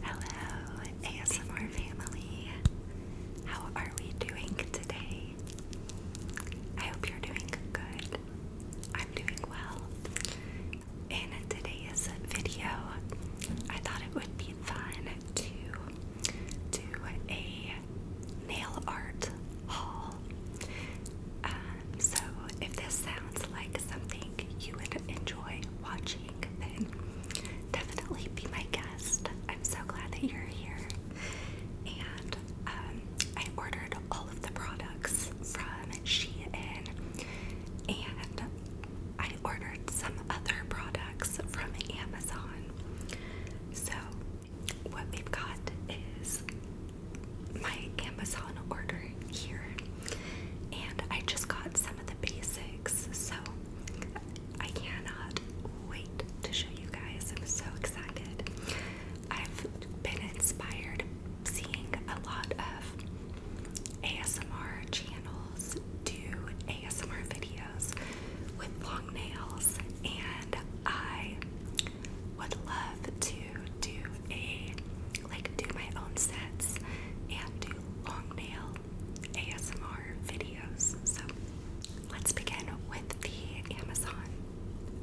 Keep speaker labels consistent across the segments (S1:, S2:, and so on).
S1: Hello, ASMR family. How are we doing today? I hope you're doing good. I'm doing well. and today is a video, I thought it would be fun to do a nail art haul. Um, so, if this sounds like something you would enjoy watching, definitely be my guest. I'm so glad that you're here. And um, I ordered all of the products from Shein, and I ordered some other products from Amazon. So, what we've got is my Amazon order here and I just got some of the basics, so I cannot wait to show you guys. I'm so excited. I've been inspired seeing a lot of ASMR channels do ASMR videos with long nails, and I would love to do a like do my own sets and do long nail ASMR videos. So let's begin with the Amazon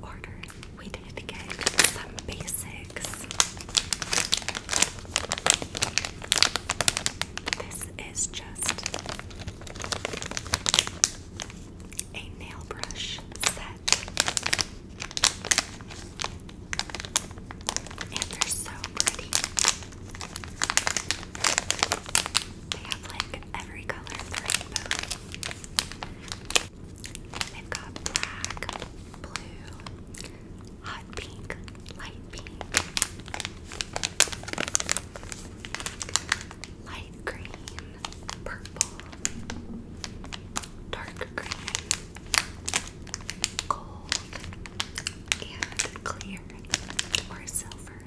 S1: order. We did get some basics. This is just a nail brush set. And they're so pretty. They have like every color rainbow. They've black, blue, hot pink, light pink, light green, purple, dark green, gold, and clear or silver.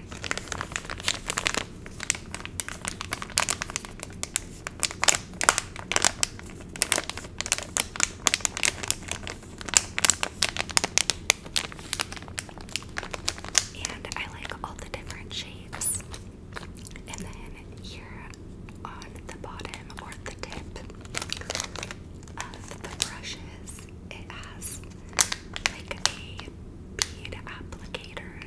S1: And I like all the different shapes. And then here on the bottom or the tip, of the brushes, it has like a bead applicator.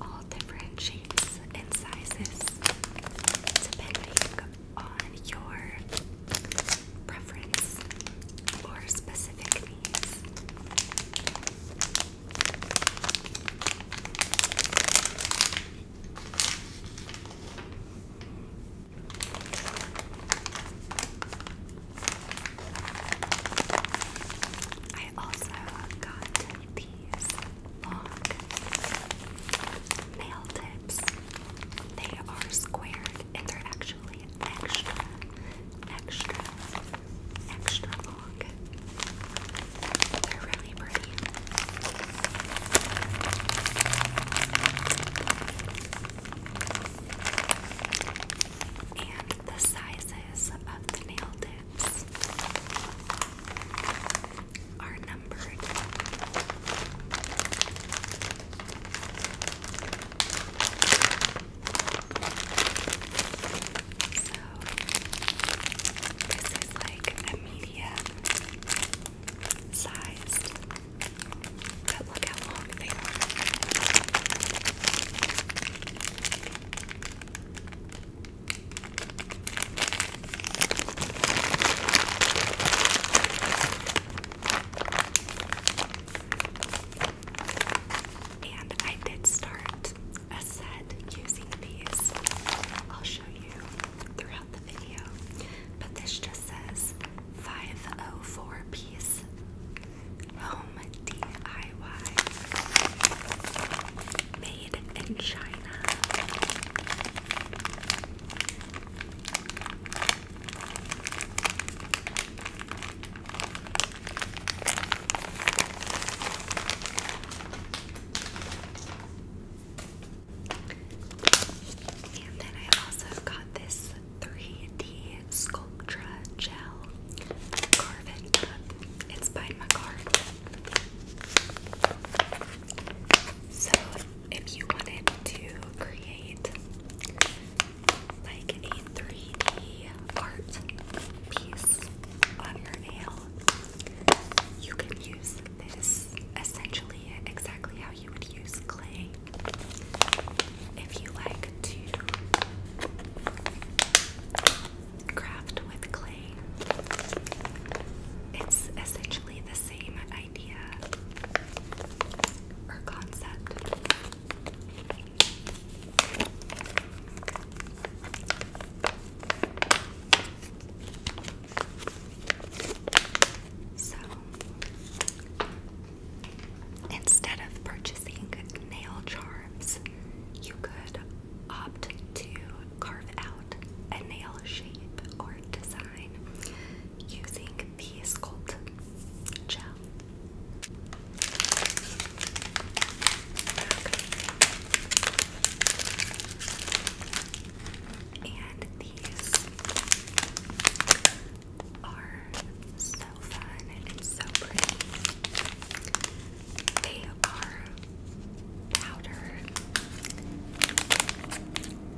S1: All different shapes and sizes depending on your preference or specific needs. I also got these long nail They are squared and they're actually extra, extra, extra long. And the sizes of the nail tips are numbered. So, this is like a media sized. But look how long they are. And I did start a set using these. I'll show you throughout but this just says 504 piece home DIY made in China. And then I also got this 3D Sculptra Gel It's by McCart. So if you wanted to create like a 3D art piece on your nail, you can use this essentially exactly how you would use clay. If you like to craft with clay, it's essentially the same idea or concept. So instead of purchasing nail charms, you could opt to carve out a nail shape or design using the Sculpt gel. And these are so fun and so pretty. They are powder,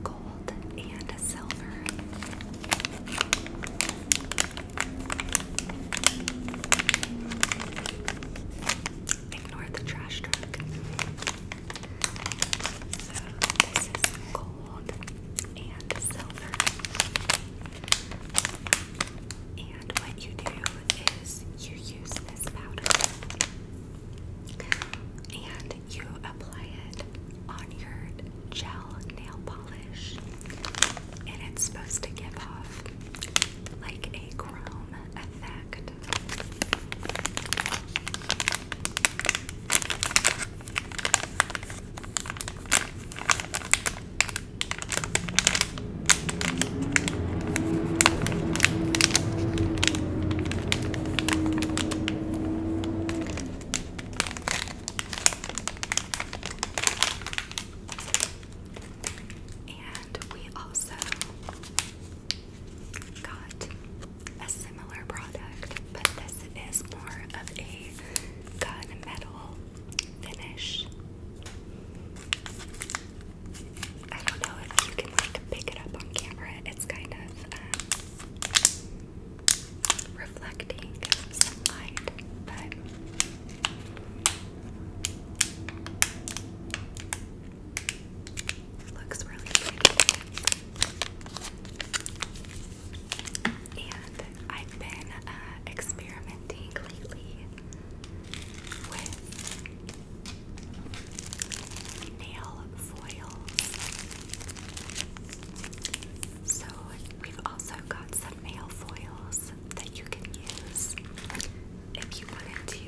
S1: gold, and silver. Ignore the trash truck. this is gold and silver. And what you do is you use this powder and you apply it on your gel nail polish. And it's supposed to give off like a chrome effect. And we also got a similar product, but this is more of a gunmetal finish. I don't know if you can like pick it up on camera. It's kind of um, reflecting some light, but Looks really pretty. And I've been uh, experimenting lately with nail foils. So we've also got some nail foils that you can use if you wanted to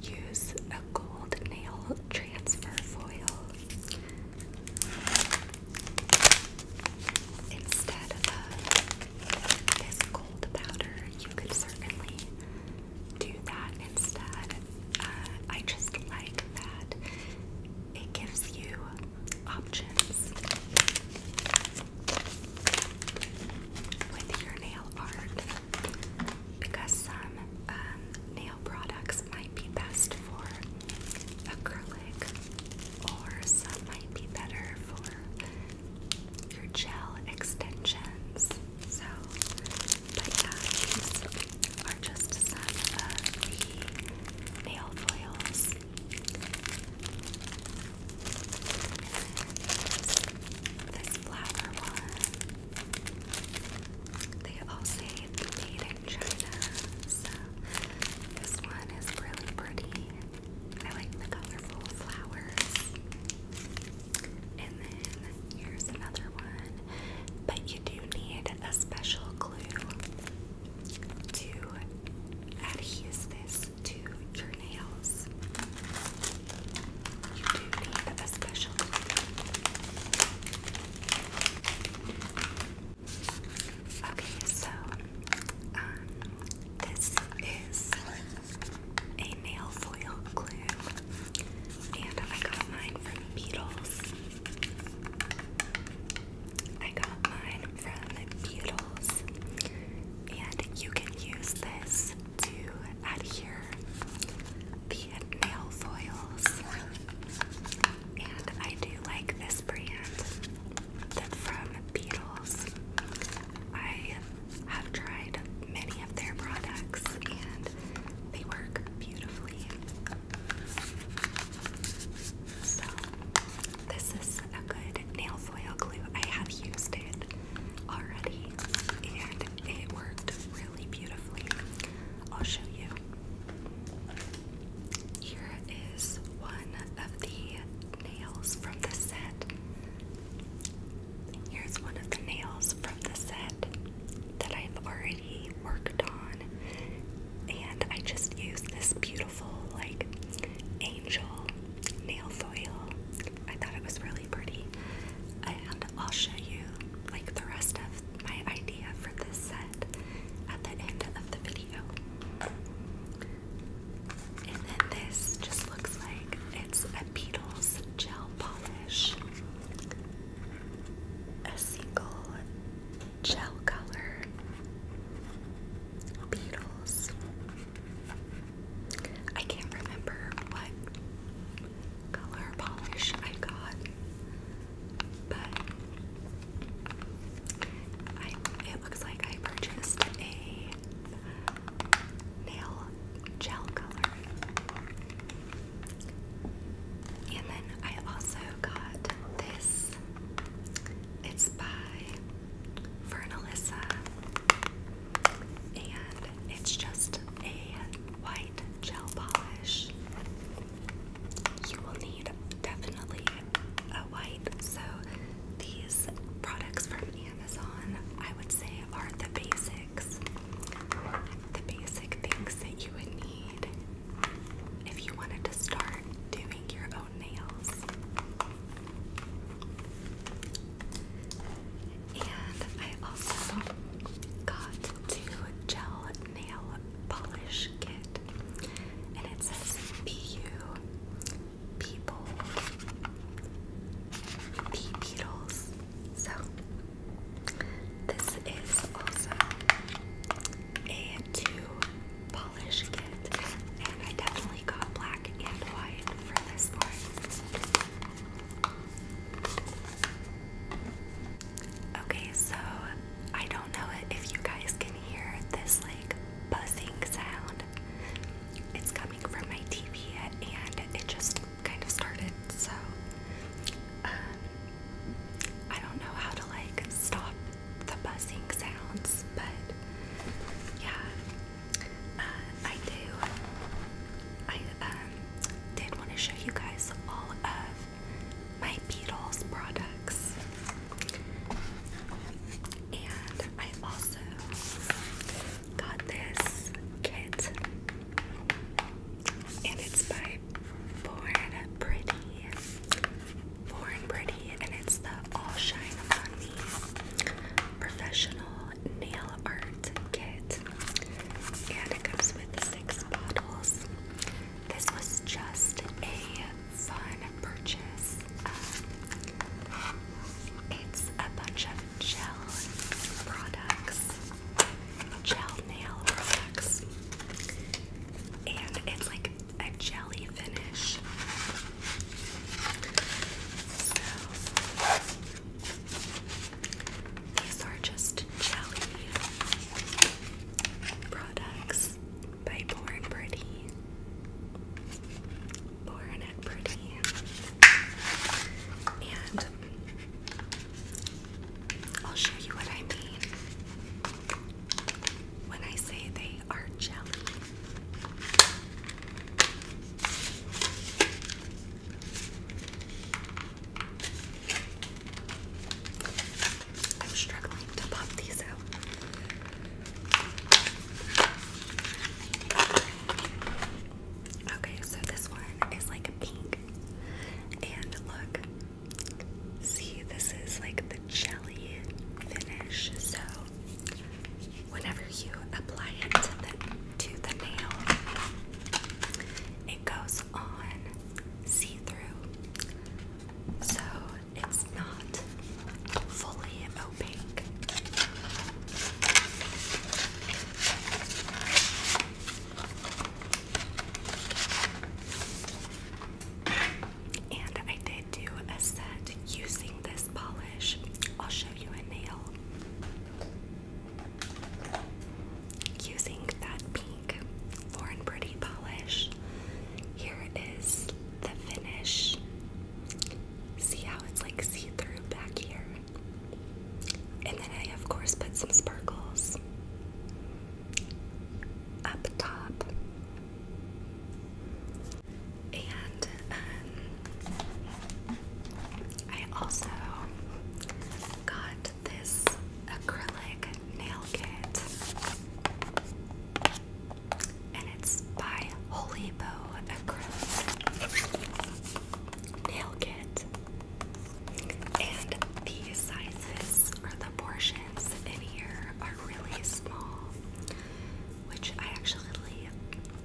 S1: use a gold nail transfer foil instead of this gold powder. You could certainly do that instead. Uh, I just like that it gives you options with your nail art because some um, nail products might be best for acrylic, or some might be better for your gel extensions. So, but yeah, these are just some of the nail foils. This flower one. They all say made in China, so this one is really pretty. I like the colorful flowers. And then here's another one, but you do need a special glue to adhere this to your nails. Okay, so um, this is a um, nail foil glue, and I got mine from Beatles. I got mine from Beatles, and you can use this to adhere the nail foils. And I do like this brand from Beatles. I have tried many of their products and they work beautifully. So, this is a good nail foil glue. I have used it already and it worked really beautifully. I'll show you. Here is one of the nails from the set. Here's one of the nails from the set that I've already worked on. And I just use this beautiful, like, angel nail foil. I thought it was really pretty. I'll show you like the rest of my idea for this set at the end of the video. And then this just looks like it's a Beatles gel polish. A single gel color. Beatles. I can't remember what color polish I got, but I, it looks like I purchased a nail gel color. And then I also got this. It's by Fernalissa. And it's just a white gel polish. You will need definitely a white. So these products from Amazon, I would say, are the basics. The basic things that you would need if you wanted to start doing your own nails. And I also got to gel nail polish kit. And it says PU people P. beetles. So this is also a two polish kit. And I definitely got black and white for this one. Okay, so I don't know if you guys can hear this like buzzing sound. It's coming from my TV and it just kind of started, so um, I don't know how to like stop the buzzing sounds, but yeah, uh, I do. I um, did want to show you guys all of my Beatles products. And I also got this kit, and it's by Born Pretty. Born Pretty, and it's the All Shine On Me Professional Nail Art Kit. And it comes with six bottles. This was just a fun purchase. Um, it's a bunch of gel products, gel nail products, and it's like a jelly finish. These are just jelly products by Born Pretty. Born Pretty. And I'll show you what I mean when I say they are jelly. I'm struggling to pop these out. Okay, so this one is like pink. And look, see, this is like the jelly finish. So, whenever you apply it to the, to the nail, it goes on see through, so it's not fully opaque. And I did do a set using this polish. I'll show you a nail. Using that pink Lauren Pretty polish, here is the finish. See how it's like see through back here? And then I, of course, put some sparkles up top. And um, I also got this acrylic nail kit. And it's by Holy Acrylic Nail Kit. And the sizes or the portions in here are really small, which I actually,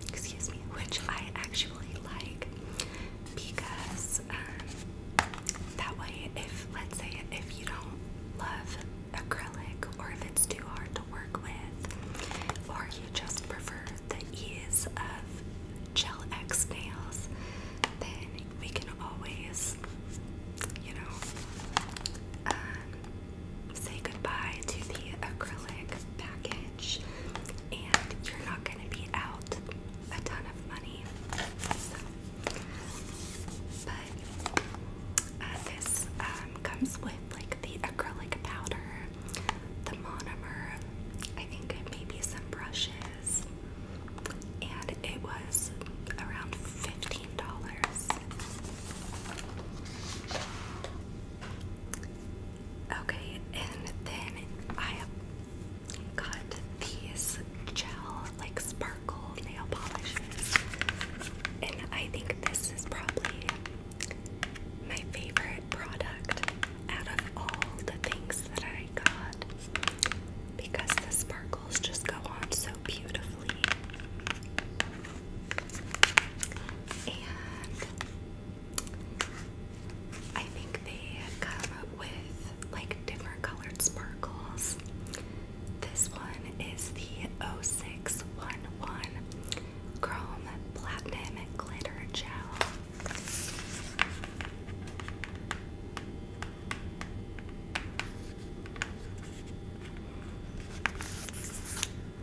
S1: excuse me, which I actually like because um, that way, if let's say if you don't love acrylic or if it's too hard to work with, or you just prefer the ease of gel X nails, then we can always, you know, um, say goodbye to the acrylic package, and you're not going to be out a ton of money. but uh, this um, comes with like the acrylic powder, the monomer, I think maybe some brushes, and it was around $15. Okay, and then I got these gel like sparkle nail polishes, and I think this is probably my favorite product out of all the things that I got because the sparkles just go on so beautifully. And I think they come with like different colored sparkles. This one is the 0611 Chrome Platinum Glitter Gel.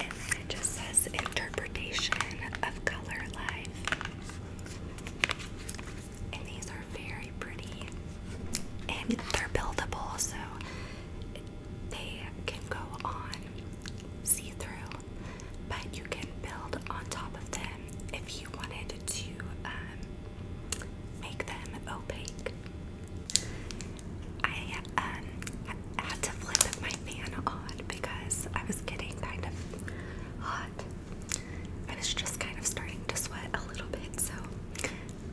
S1: And then it just says interpretation of color life and these are very pretty and they're buildable so they can go on see-through but you can build on top of them if you wanted to um, make them opaque I um, had to flip my fan on because I was getting kind of hot I was just kind of starting to sweat a little bit, so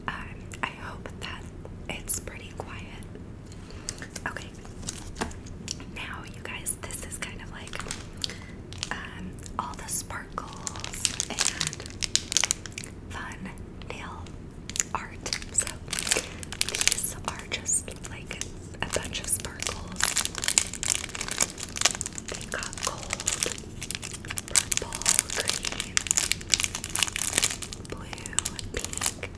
S1: um, I hope that it's pretty quiet. Okay, now you guys, this is kind of like um, all the sparkles and fun nail art. So these are just like a bunch of sparkles they got gold, purple, green, blue, pink,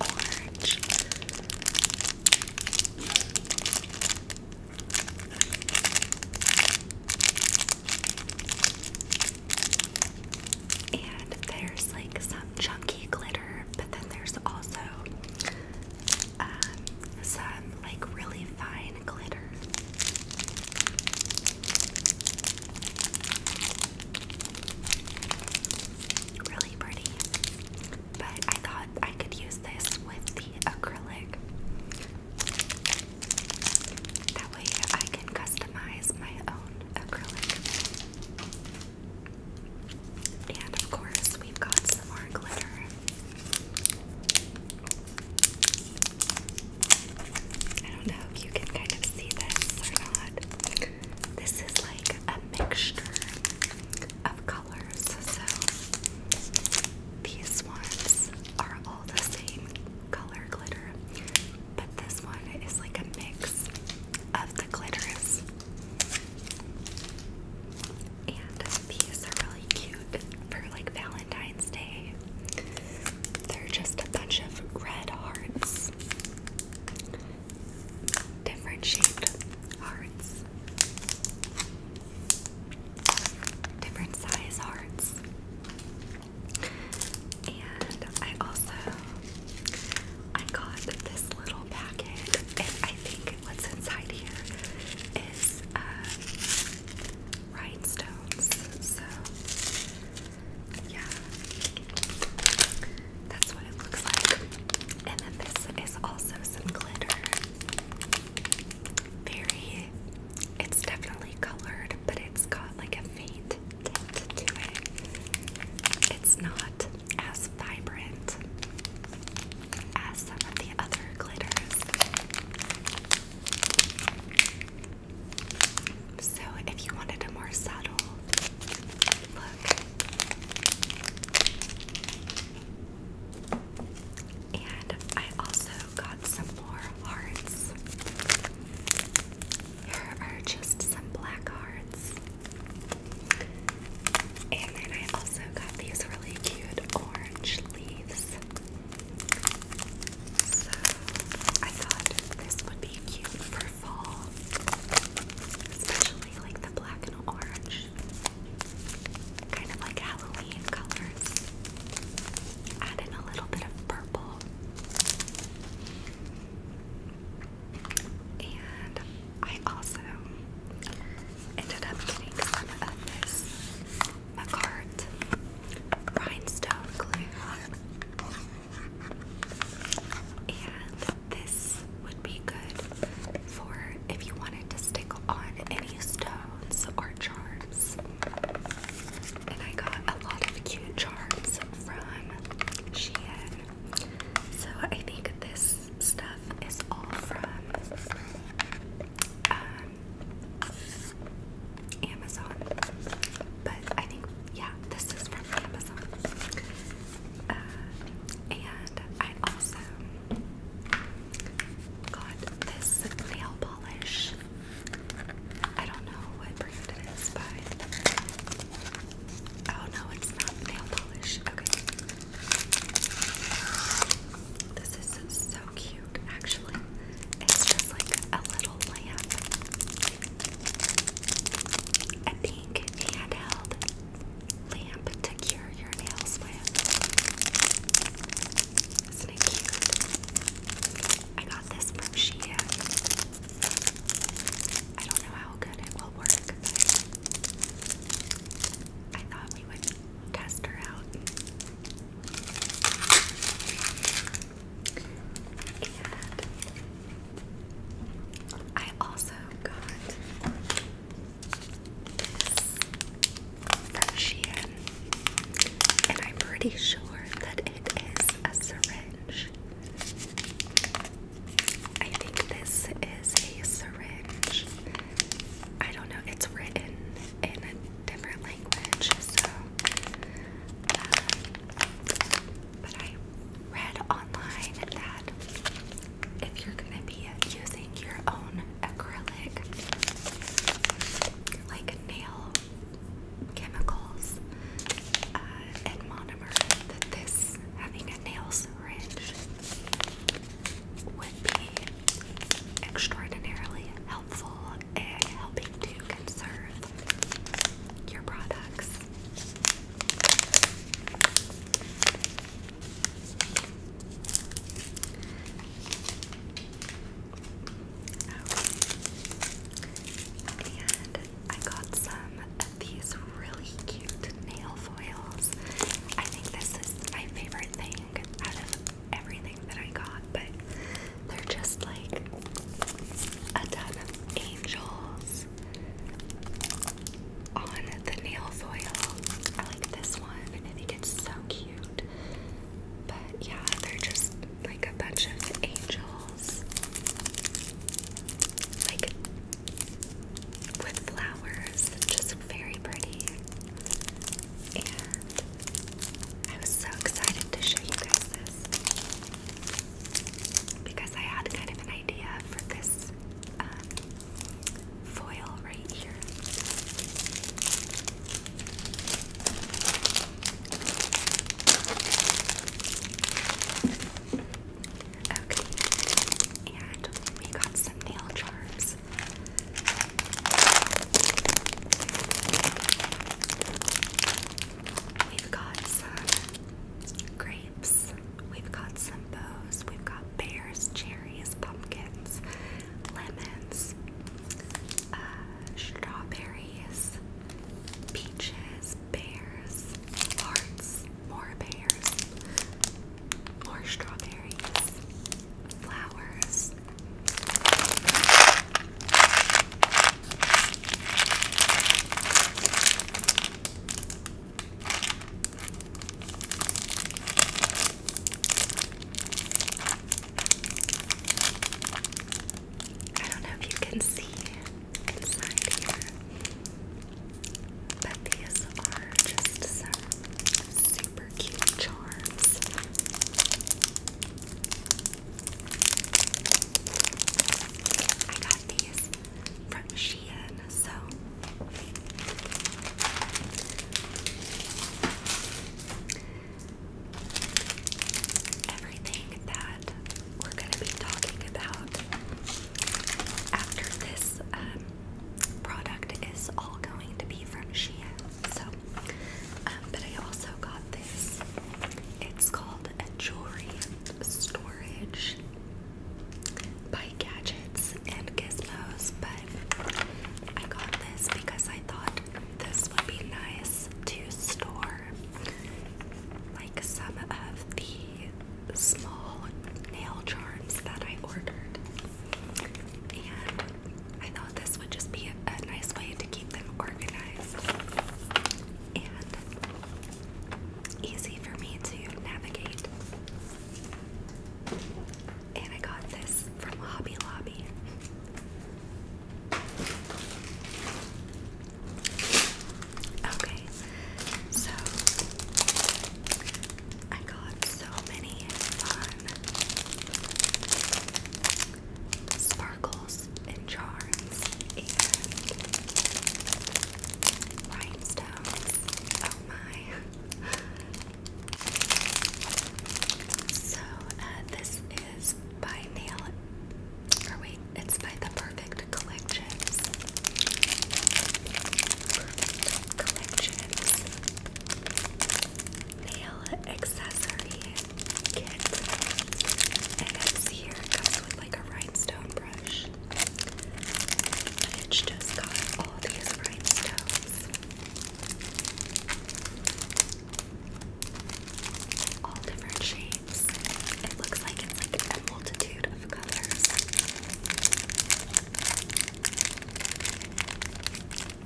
S1: orange. And there's like some chunky glitter, but then there's also um, some like really fine glitter. Really pretty. But I thought I could use this with the acrylic. That way I can customize my own acrylic. And of course, we've got some more glitter. I don't know if you can kind of see this or not. This is like a mixture of colors, so these ones are all the same color glitter, but this one is like a mix of the glitters. And these are really cute for like Valentine's Day. They're just a bunch of red hearts, different shaped hearts, different size hearts. And I also I got this little packet, and I think What's inside here is uh, rhinestones. So yeah, that's what it looks like. And then this is also some glitter. Very, it's definitely colored, but it's got like a faint to it. It's not as vibrant as some of the other glitters. So, if you wanted a more subtle look, and I also got some more hearts. Here are just some black hearts. And then I also got these really cute orange leaves. So I thought this would be cute for fall, especially like the black and orange, kind of like Halloween colors. Add in a little bit of purple. And I also ended up getting some of this McCart rhinestone glue. And this would be good for if you wanted to stick on any stones or charms. And I got a lot of cute charms from Shein. So I think this stuff is all from um, Amazon. But I think, yeah, this is from Amazon. Uh, and I also got this nail polish. I don't know what brand it is, Oh no, it's not nail polish. Okay. This is so cute, actually. It's just like a little lamp. A pink handheld lamp to cure your nails with. Isn't it cute? I got this from Shein. I don't know how good it will work, but I thought we would test her out. I also got this from and I'm pretty sure that it is a syringe. I think this is a syringe I don't know, it's written in a different language, so. Uh, I read online that if you're gonna be using your own acrylic, like nail chemicals uh, and monomer, that this having a nail syringe would be extraordinarily helpful in helping to conserve your products. And I got some of these really cute nail foils. I think this is my favorite thing out of everything that I got, but they're just like a ton angels on the nail foil. I like this one, I think it's so cute. But yeah, they're just like a bunch of angels. Like with flowers. Just very pretty and I was so excited to show you guys this because I had kind of an idea for this um, foil right here. Okay, and we got some nail charms. We've got some grapes, we've got some bows, we've got bears, cherries, pumpkins, lemons, uh, strawberries, peaches, pears, hearts, more pears, more strawberries, flowers. I don't know if you can see inside here, but are just super cute charms. I got these from Shein, so everything that we're going to be talking about after this um, product is all going to be from Shein. So, um, but I also got this. It's called a jewelry storage by Gadgets and Gizmos, but I got this because I thought this would be nice to store like some of the small nail charms that I ordered. And I thought this would just be a, nice way to keep them organized and easy for me to navigate. And I got this from Hobby Lobby. Okay, so I got so many fun sparkles and charms and rhinestones. Oh my. So uh, this is by Nail or wait, it's by the Perfect Collections. Perfect Collections nail accessory kit. And this here comes with like a rhinestone brush. It's just got all these rhinestones. All different shapes. It looks like it's like a multitude of colors. And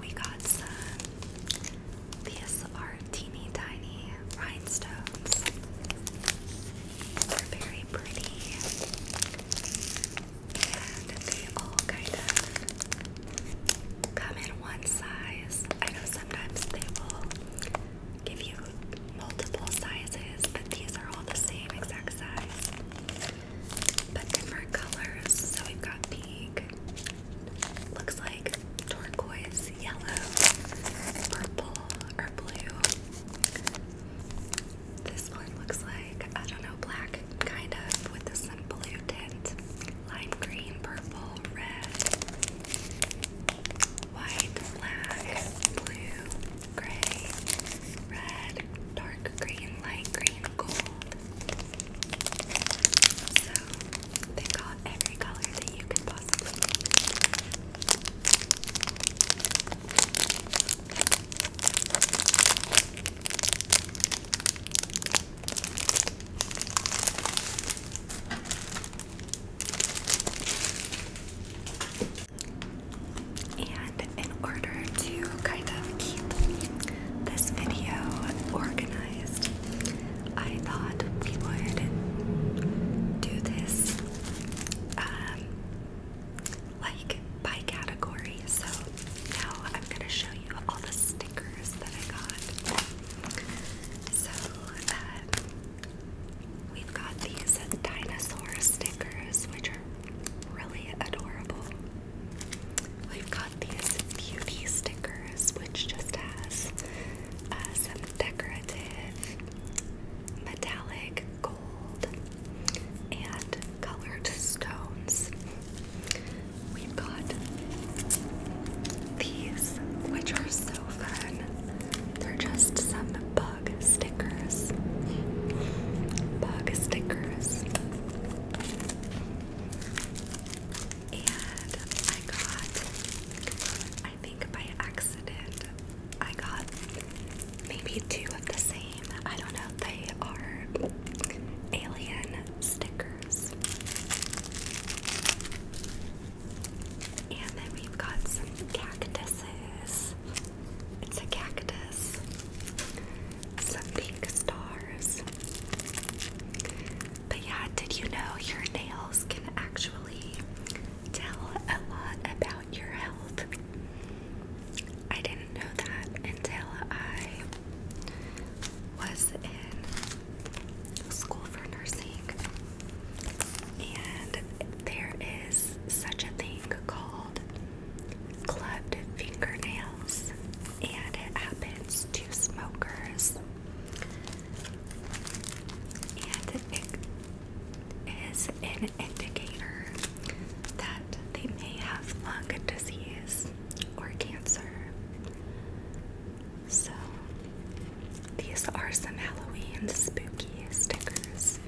S1: we got some, these are teeny tiny rhinestones. They're very pretty. And they all kind of come in one size. I know sometimes they will give you multiple sizes, but these are all the same exact size. But different colors. So we've got pink, looks like turquoise, yellow, purple, or blue. This one looks like, I don't know, black kind of with a some blue tint lime green, purple, red, white, black, blue, gray, red, dark green, light green, gold. So they got every color that you can possibly and in order to kind of keep this video organized, I thought we would do this um, like by category. So now I'm going to show you all the stickers that I got. So, um, we've got these dinosaur stickers, which are really adorable. We've got these beauty stickers, which just has uh, some decorative metallic gold and colored stones. We've got these, which are so fun. They're just some bug stickers. Bug stickers. And I got, I think by accident, I got maybe two of the same. I don't know. They are alien stickers. And then we've got some cactuses. It's a cactus. Some pink stars. But yeah, did you know your nails can actually tell a lot about your health? I didn't know that until I was in school for nursing, and there is such a thing called clubbed fingernails, and it happens to smokers. And it is an indicator that they may have lung disease or cancer. So, these are some Halloween spooky stickers.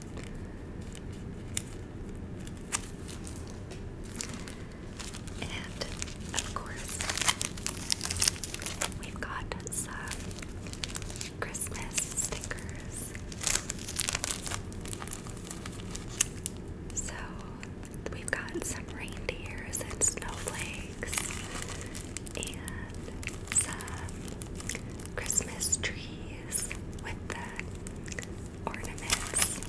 S1: And of course, we've got some Christmas stickers. So, We've got some reindeers and snowflakes and some Christmas trees with the ornaments.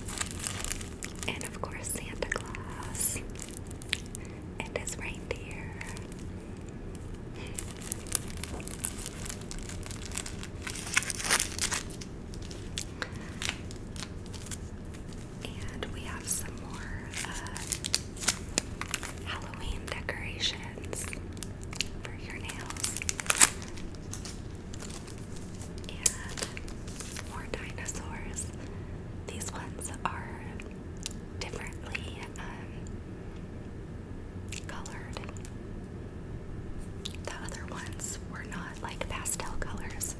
S1: And of course, Santa Claus and his reindeer. And we have some more uh, Halloween decorations for your nails. And more dinosaurs. These ones are differently um, colored. The other ones were not like pastel colors.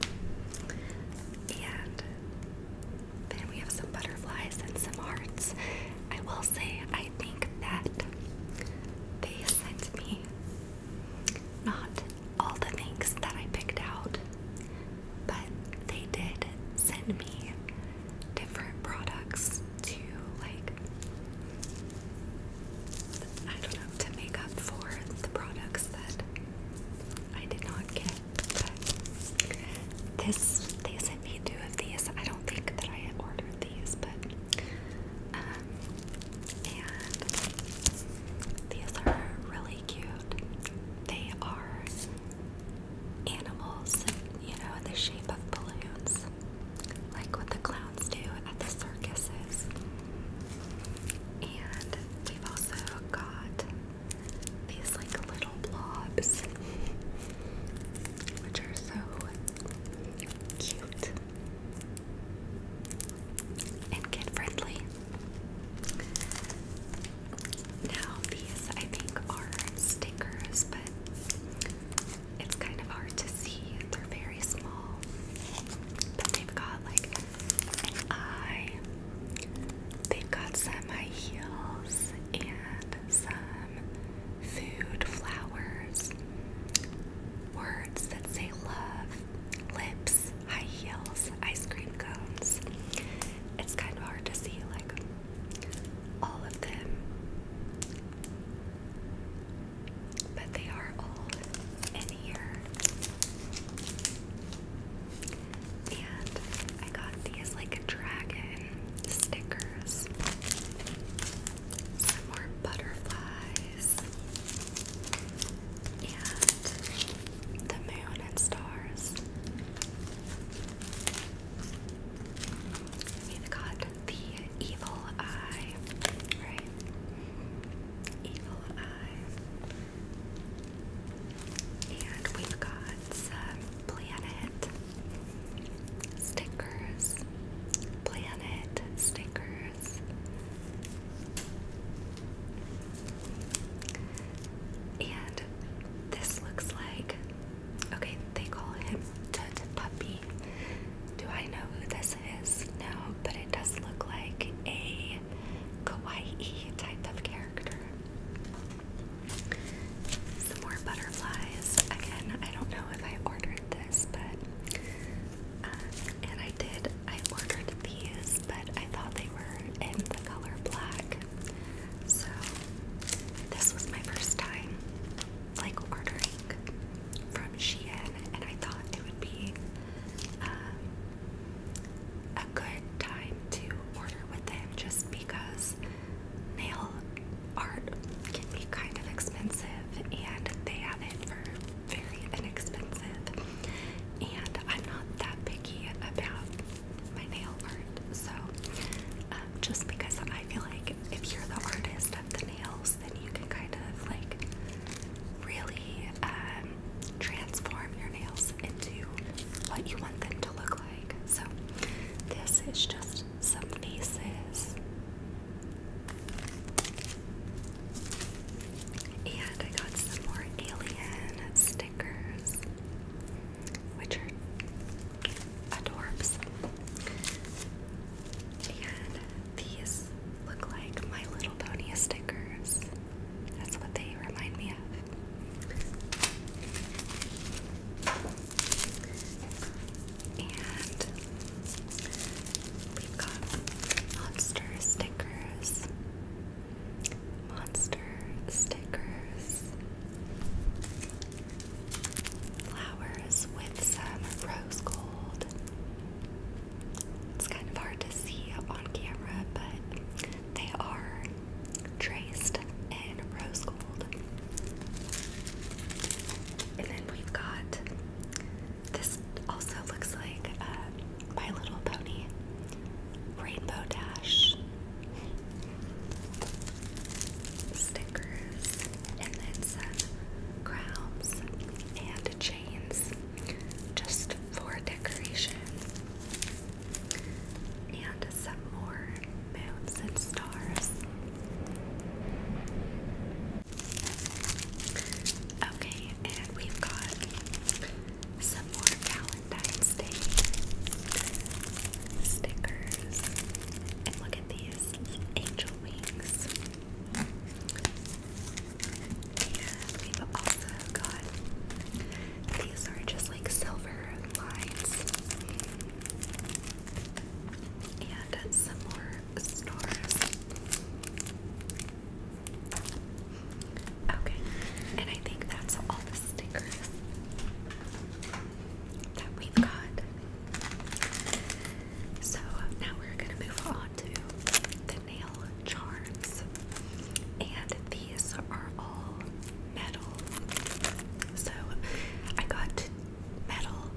S1: And then we have some butterflies and some hearts. I will say, I think that they sent me not all the things that I picked out, but they did send me different products to, like, I don't know, to make up for the products that I did not get. This they sent me two of these. I don't think that I ordered these, but um and these are really cute. They are animals, you know, in the shape of balloons. Like what the clowns do at the circuses. And we've also got these like little blobs, which are so cute and kid friendly. Now, these I think are stickers, but it's kind of hard to see. They're very small, but they've got like I they've got some high heels and some food, flowers, words that say love, lips, high heels, ice cream cones. It's kind of hard to see like all of them. But they are all in here. And I got these like dragon stickers. Some more butterflies. And the moon and stars. We've got the evil eye, right? Evil eye. And we've got some planet stickers. Planet stickers. And this looks like okay, they call him Tut Puppy. Do I know who this is? No, but it does look like a kawaii type of character. Some more butterflies. Again, I don't know if I ordered this, but uh, and I did. I ordered these, but I thought they were in the color black. So this was my first time like ordering from Shein, and I thought it would be. Uh, a good time to order with them just because nail art can be kind of expensive and they have it for very inexpensive. And I'm not that picky about my nail art, so um, just because I feel like if you're the artist of the nails, then you can kind of like really um, transform your nails into what you want them to look like. So, this is just some bases. And I got some more alien stickers, which are adorbs. And these look like My Little Pony stickers. That's what they remind me of. And we've got monster stickers. Monster stickers. Flowers with some rose gold. It's kind of hard to see on camera, but they are traced in rose gold. And then we've got this also looks like uh, My Little Pony Rainbow Dash stickers, and then some crowns and chains just for decoration and some more moons and stars. Okay, and we've got some more Valentine's Day stickers. look at these angel wings. And we've also got these are just like silver lines. And some more stars. Okay, and I think that's all the stickers that we've got. So now we're going to move on to the nail charms. And these are all metal. So I got metal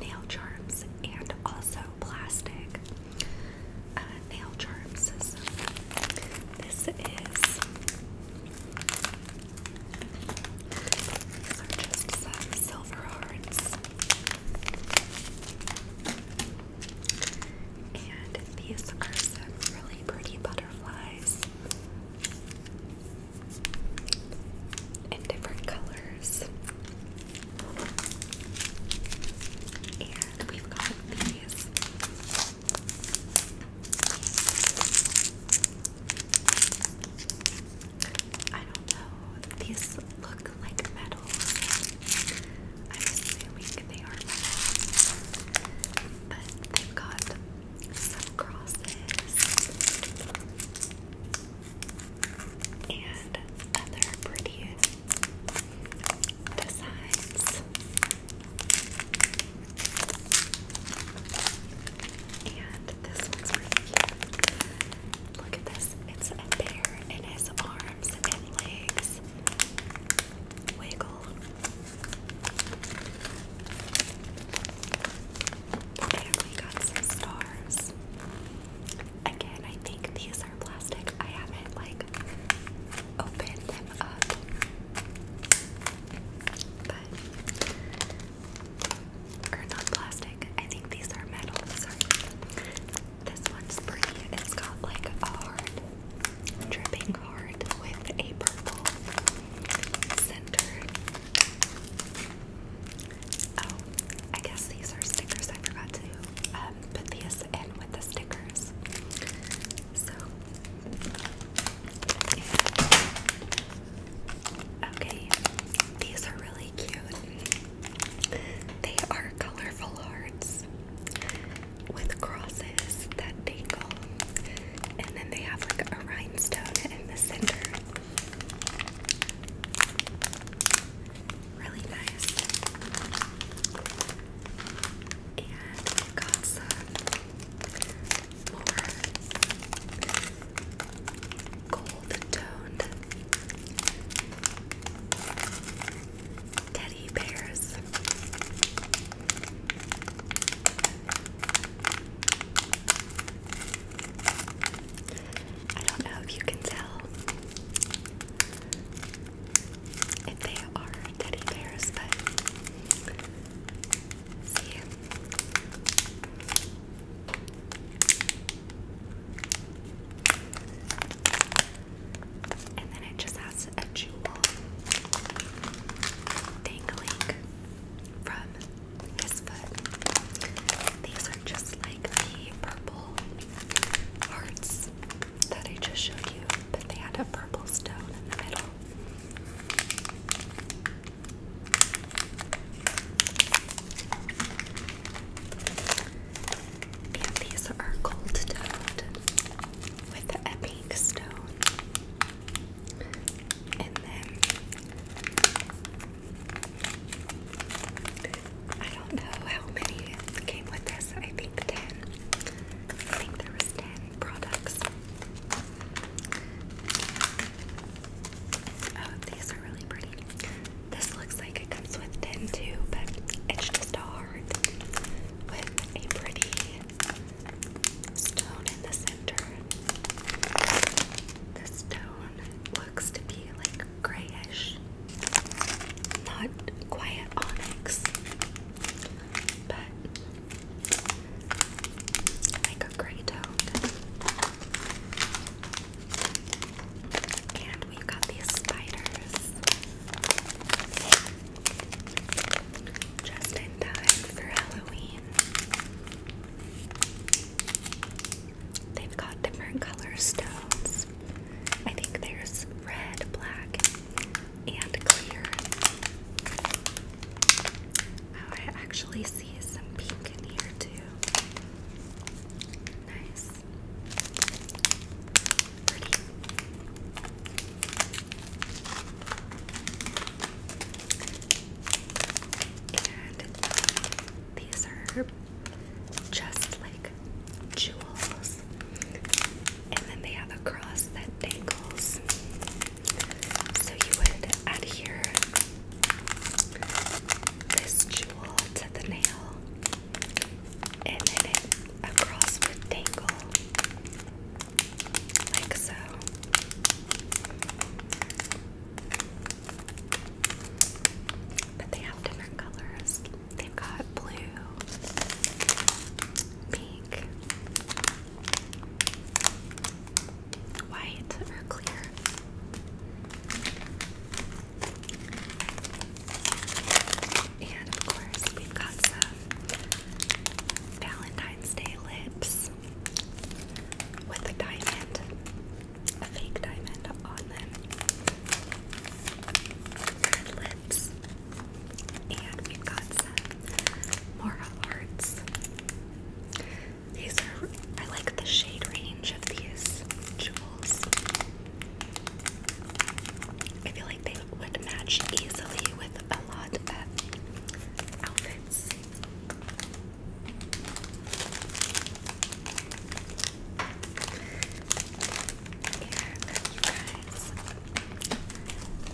S1: nail charms and also plastic uh, nail charms. this is. These are just some silver hearts. And these are some really pretty butterflies in different colors. And we've got these I don't know, these look like metals. I'm assuming they are but they've got some crosses and other pretty designs. And this one's pretty cute. Look at this. It's a bear in his arms and legs. Wiggle. There we got some stars. Again, I think these are plastic. I haven't like opened them up. or not plastic. I think these are metal. Sorry. This one's pretty. It's got like a hard dripping heart with a purple center. Oh, I guess these are stickers. I forgot to um, put these in with the stickers. So, okay, these are really cute. They are colorful hearts with crosses that dangle, and then they have like a rhinestone in the center. Really nice. And we've got some more gold toned teddy bears. I don't know if you can tell if they are teddy bears, but see. And then it just has is a jewel dangling from his foot. These are just like the purple hearts that I just showed you, but they had a purple stone in the middle. Yeah, these are gold toad with a pink stone. I don't know how many came with this. I think 10. I think there was 10 products. Oh, these are really pretty. This looks like it comes with 10 too, but it's just a heart with a pretty stone in the center. The stone looks to be like grayish, not quiet onyx, but like a gray tone. And we got these spiders. Just in time for Halloween. They've got different color stones. I think there's red, black, and clear. Oh, I actually see some pink in here too. Nice. Pretty. And these are just like jewels. And then they have a cross that dangles. So you would adhere this jewel to the nail, and then it, a cross would dangle like so. But they have different colors. they got blue, pink, white, or clear. And of course, we've got some Valentine's Day lips with a diamond, a fake diamond on them. lips. And we've got some Mora Arts. These are, I like the shade range of these jewels. I feel like would match easily with a lot of outfits.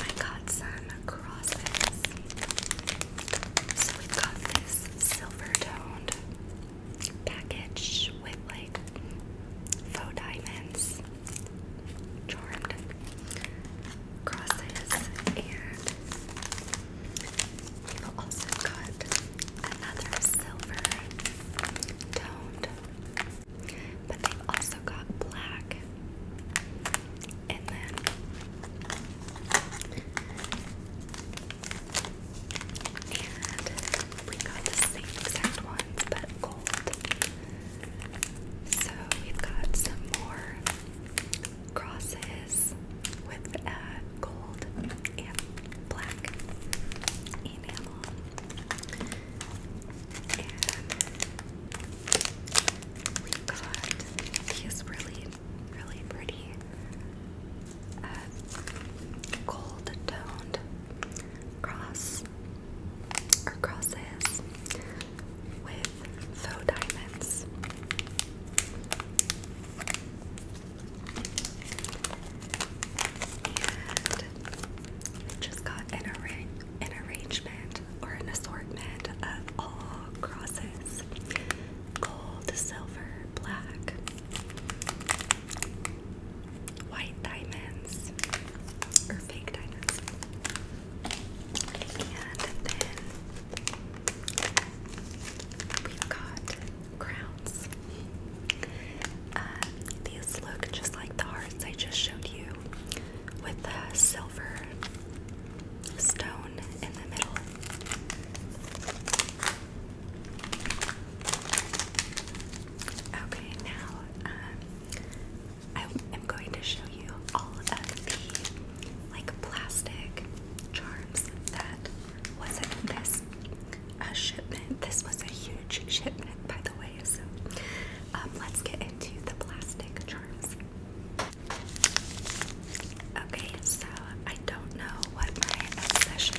S1: I got some crosses. So we got this silver toned package with like faux diamonds charmed crosses, and we've also got another silver toned, but they've also got black, and then. And we got the same exact ones, but gold. So we've got some more crosses with gold and black enamel. And we've got these really, really pretty uh, gold toned cross or crosses with faux diamonds. And just got an, arra an arrangement or an assortment of all crosses gold, silver, black, white diamonds, or fake diamonds. And then we got crowns. Uh, these look just like the hearts I just showed you with the silver stone in the middle. Okay, now um, I am going to show you all of the like plastic charms that was not this a shipment. This was a huge shipment, by the way. So um, let's get into the plastic charms. Okay, so I don't know what my obsession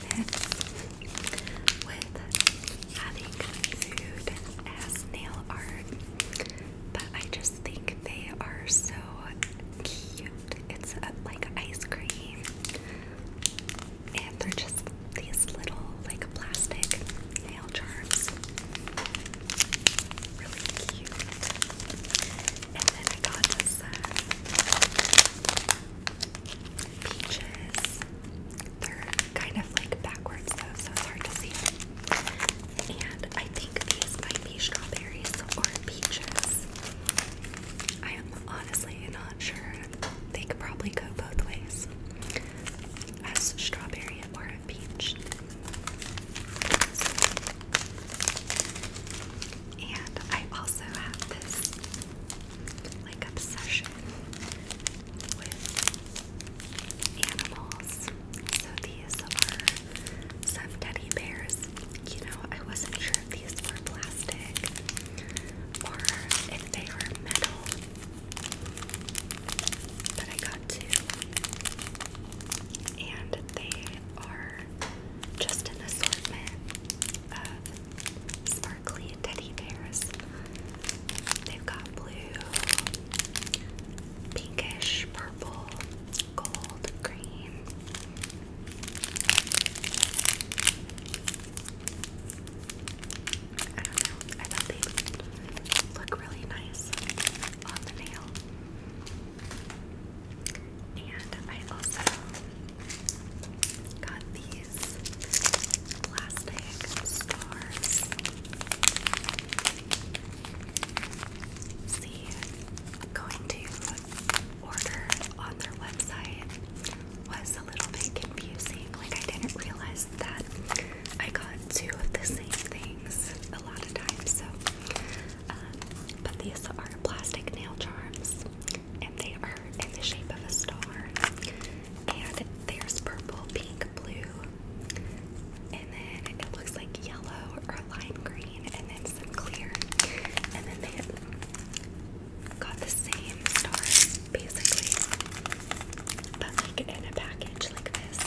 S1: with having food as nail art. But I just think they are so cute. It's like ice cream. And they're just these little like plastic nail charms. Really cute. And then I got this uh, peaches. They're kind of like backwards so it's hard to see. And I think these might be strawberries or peaches. I am honestly not sure. They could probably go both ways as strawberry or a peach. And I also have this like obsession with animals. So these are some teddy bears. You know, I wasn't sure if these were plastic or if they were metal, but I got two. And they are just an assortment of sparkly teddy bears. They've got blue, pinkish purple, gold, green. I don't know. I thought they look really nice on the nail. And I also got these plastic stars see, going to order on their website was a little bit confusing. Like, I didn't realize that I got two of the same things a lot of times. So, um, but these are plastic nail charms, and they are in the shape of a star. And there's purple, pink, blue, and then it looks like yellow or lime green, and then some clear. And then they got the same stars basically, but like in a package like this.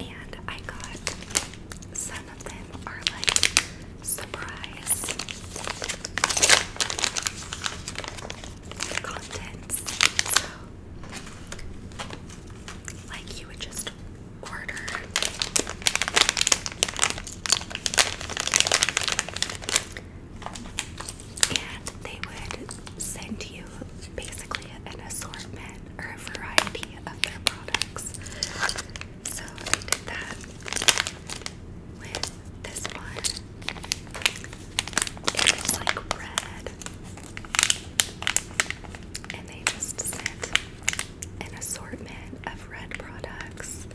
S1: and I got some of them are like surprise contents. like, you would just order. And they would send you basically an assortment or a variety of their products. So I did that with this one. It was like red. And they just sent an assortment of red products.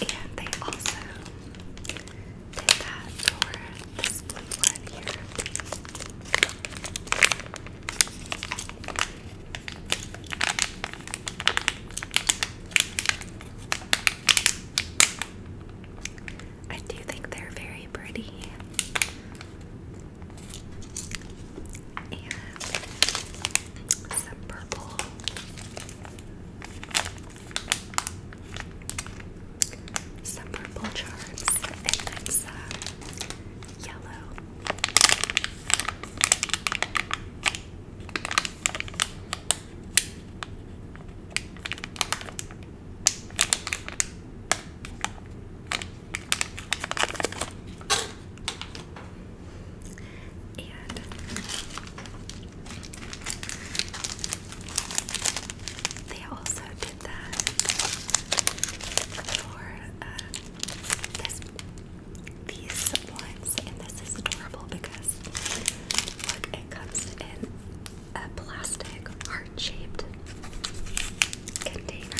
S1: And they also did that for I do think they're very pretty. And some purple some purple charms, and then some yellow. And they also did that for this, these ones, and this is adorable because look, it comes in a plastic heart-shaped container.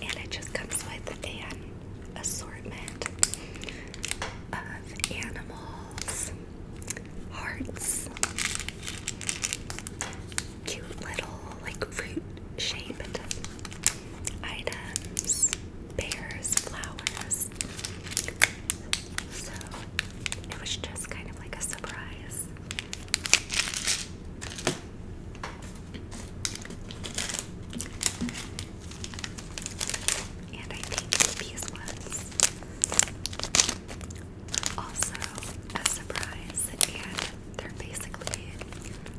S1: And it just comes with an assortment of animals, hearts, cute little like fruit shaped items, pears, flowers. So it was just kind of like a surprise. And I think these ones also a surprise, and they're basically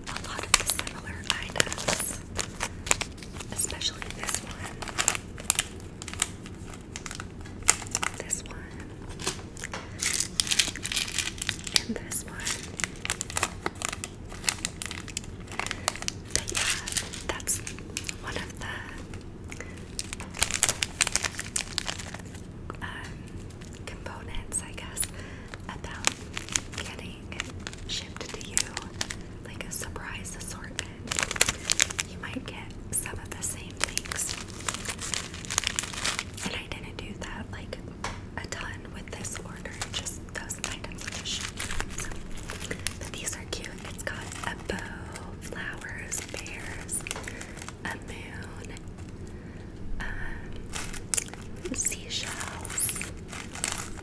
S1: a lot of the similar items, especially this one. This one. And this one. yeah, that's one of the um, components, I guess, about getting shipped to you like a surprise assortment. You might get some of the same things and I didn't do that like a ton with this order, just those items But these are cute. It's got a bow, flowers, bears, a moon, um, seashells,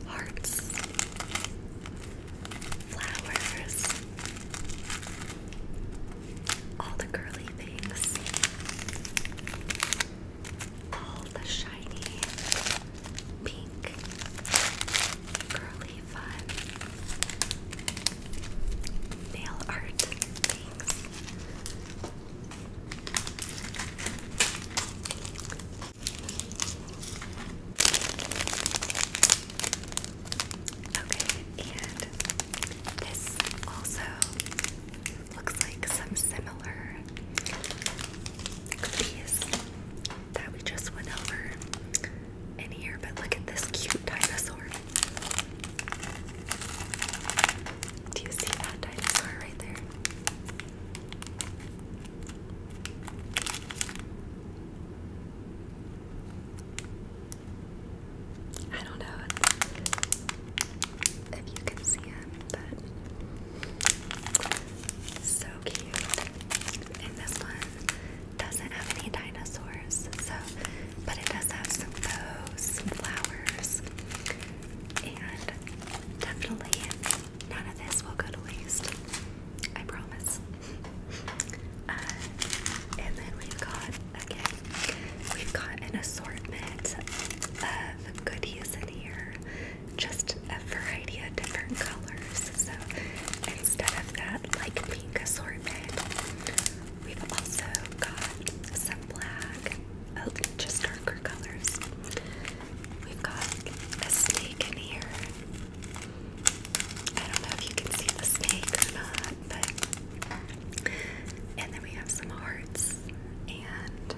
S1: hearts, flowers, all the girly things, all the shiny, pink, curly fun nail art things. Okay, and this also Looks like some similar cookies that we just went over in here, but look at this cute dinosaur. Do you see that dinosaur right there? I don't know if, you can see him, but so cute. And this one doesn't have any dinosaurs, so but it does have some bows, some flowers, and definitely none of this will go to waste. I promise. Uh, and then we got again We've got an assortment of goodies in here, just a variety of different colors. So instead of that like pink assortment, we've also got some black, oh, just darker colors. We've got a snake in here. I don't know if you can see the snake or not and then we have some hearts and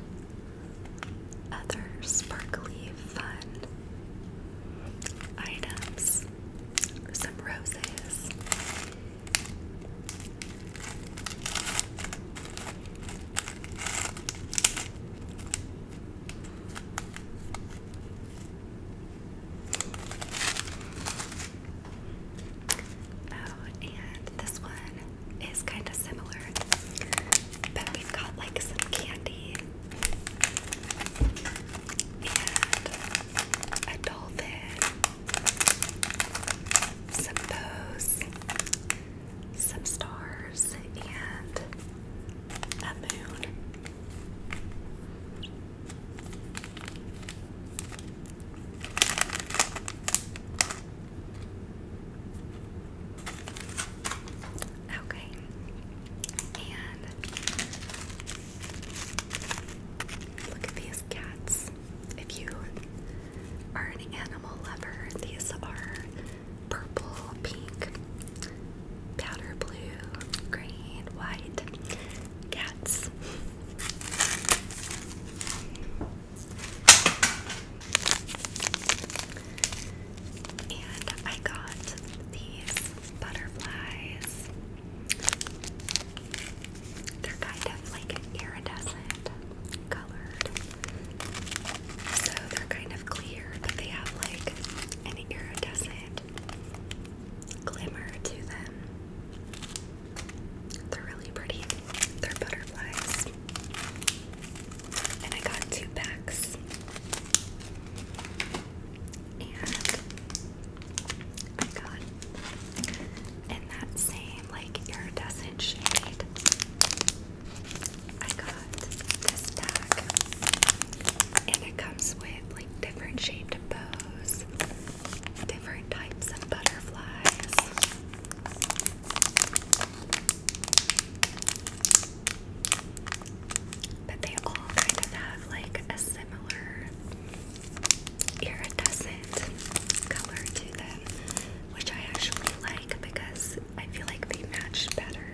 S1: other sparkly fun items, some roses. Oh, and this one is kind of similar, but we've got like some candy and a dolphin, some bows, some stars, and a moon. Okay. And look at these cats. If you are an animal lover, these are purple, pink, powder blue, green, white cats. And I got these butterflies. They're kind of like iridescent colored. So they're kind of clear, but they have like an iridescent glimmer to them. They're really pretty. They're butterflies. And I got two packs. And I got in that same like iridescent shade. I got this pack. And it comes with like different shaped bows different types of butterflies. But they all kind of have like a similar iridescent color to them, which I actually like because I feel like they match better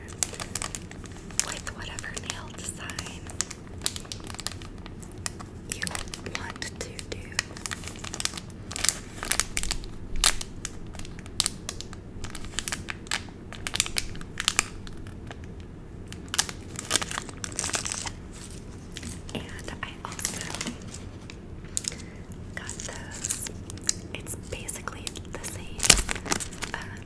S1: with whatever nail design you want to do. And I also got those. It's basically the same uh,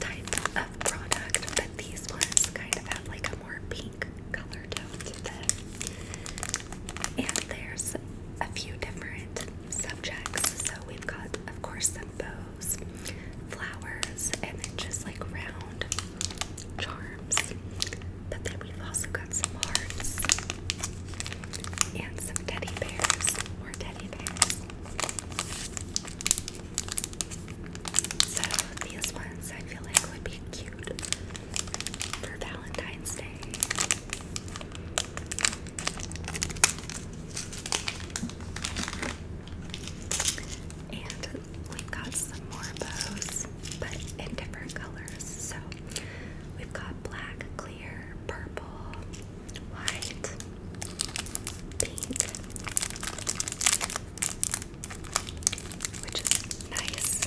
S1: type of product, but these ones kind of have like a more pink color to and there's a few different subjects. So we've got, of course, some bows, flowers, and then just like round charms. But then we've also got some hearts and some teddy bears or teddy bears. So these ones I feel like would be cute for Valentine's Day. And we've got some more bows, but in different colors. So we've got black, clear, purple, white, pink, which is nice.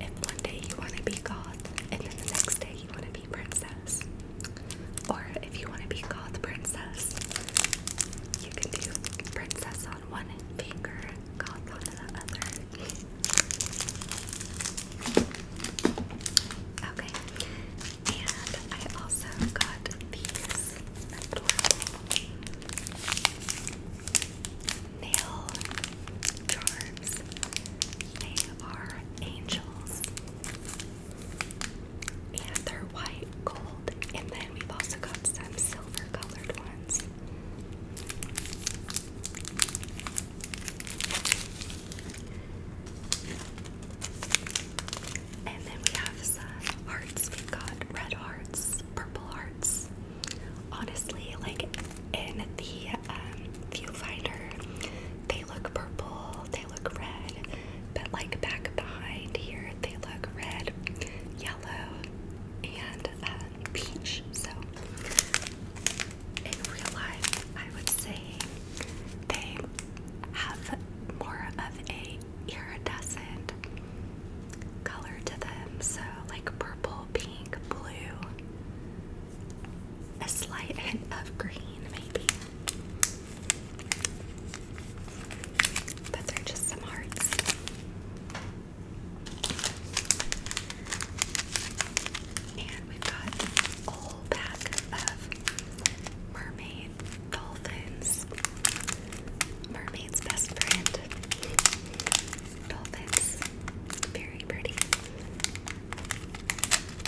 S1: If one day you want to be goth, and then the next day you want to be princess, or if you want to be goth princess, you can do princess on one finger, goth on the other. Okay, and I also got these adorable nail charms. They are angels. And they're white, gold, and then we've also got some silver colored ones. And then we have some hearts. We've got red hearts, purple hearts. Honestly, like in the um, viewfinder, they look purple, they look red, but like back behind here, they look red, yellow, and um, peach. So in real life, I would say they have more of a iridescent color to them, so like purple, pink, blue, a slight hint of green, maybe. Those are just some hearts. And we've got a whole pack of mermaid doll dolphins. Mermaid's best friend. Dolphins. Very pretty.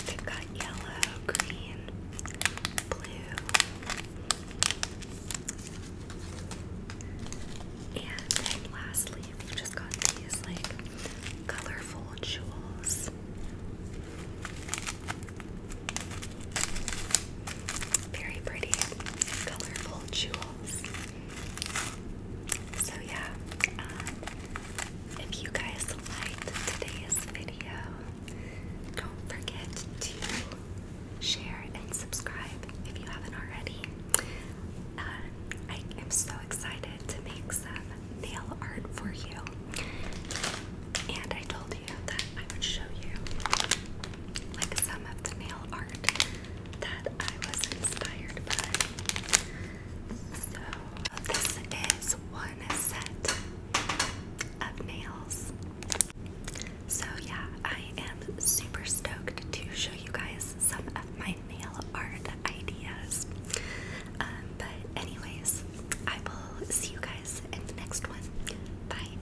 S1: They've got yellow, green, blue. And lastly, we've just got these like colorful jewels. Very pretty, colorful jewels. So yeah, um, if you guys liked today's video, don't forget to share and subscribe if you haven't already. Uh, I am so excited to make some nail art for you. And I told you that I would show you like some of the nail art that I was inspired by. So this is one set of nails. So yeah, I am super stoked to show you guys some of my nail art ideas. Um, but anyways, I will see you guys in the next one. Bye.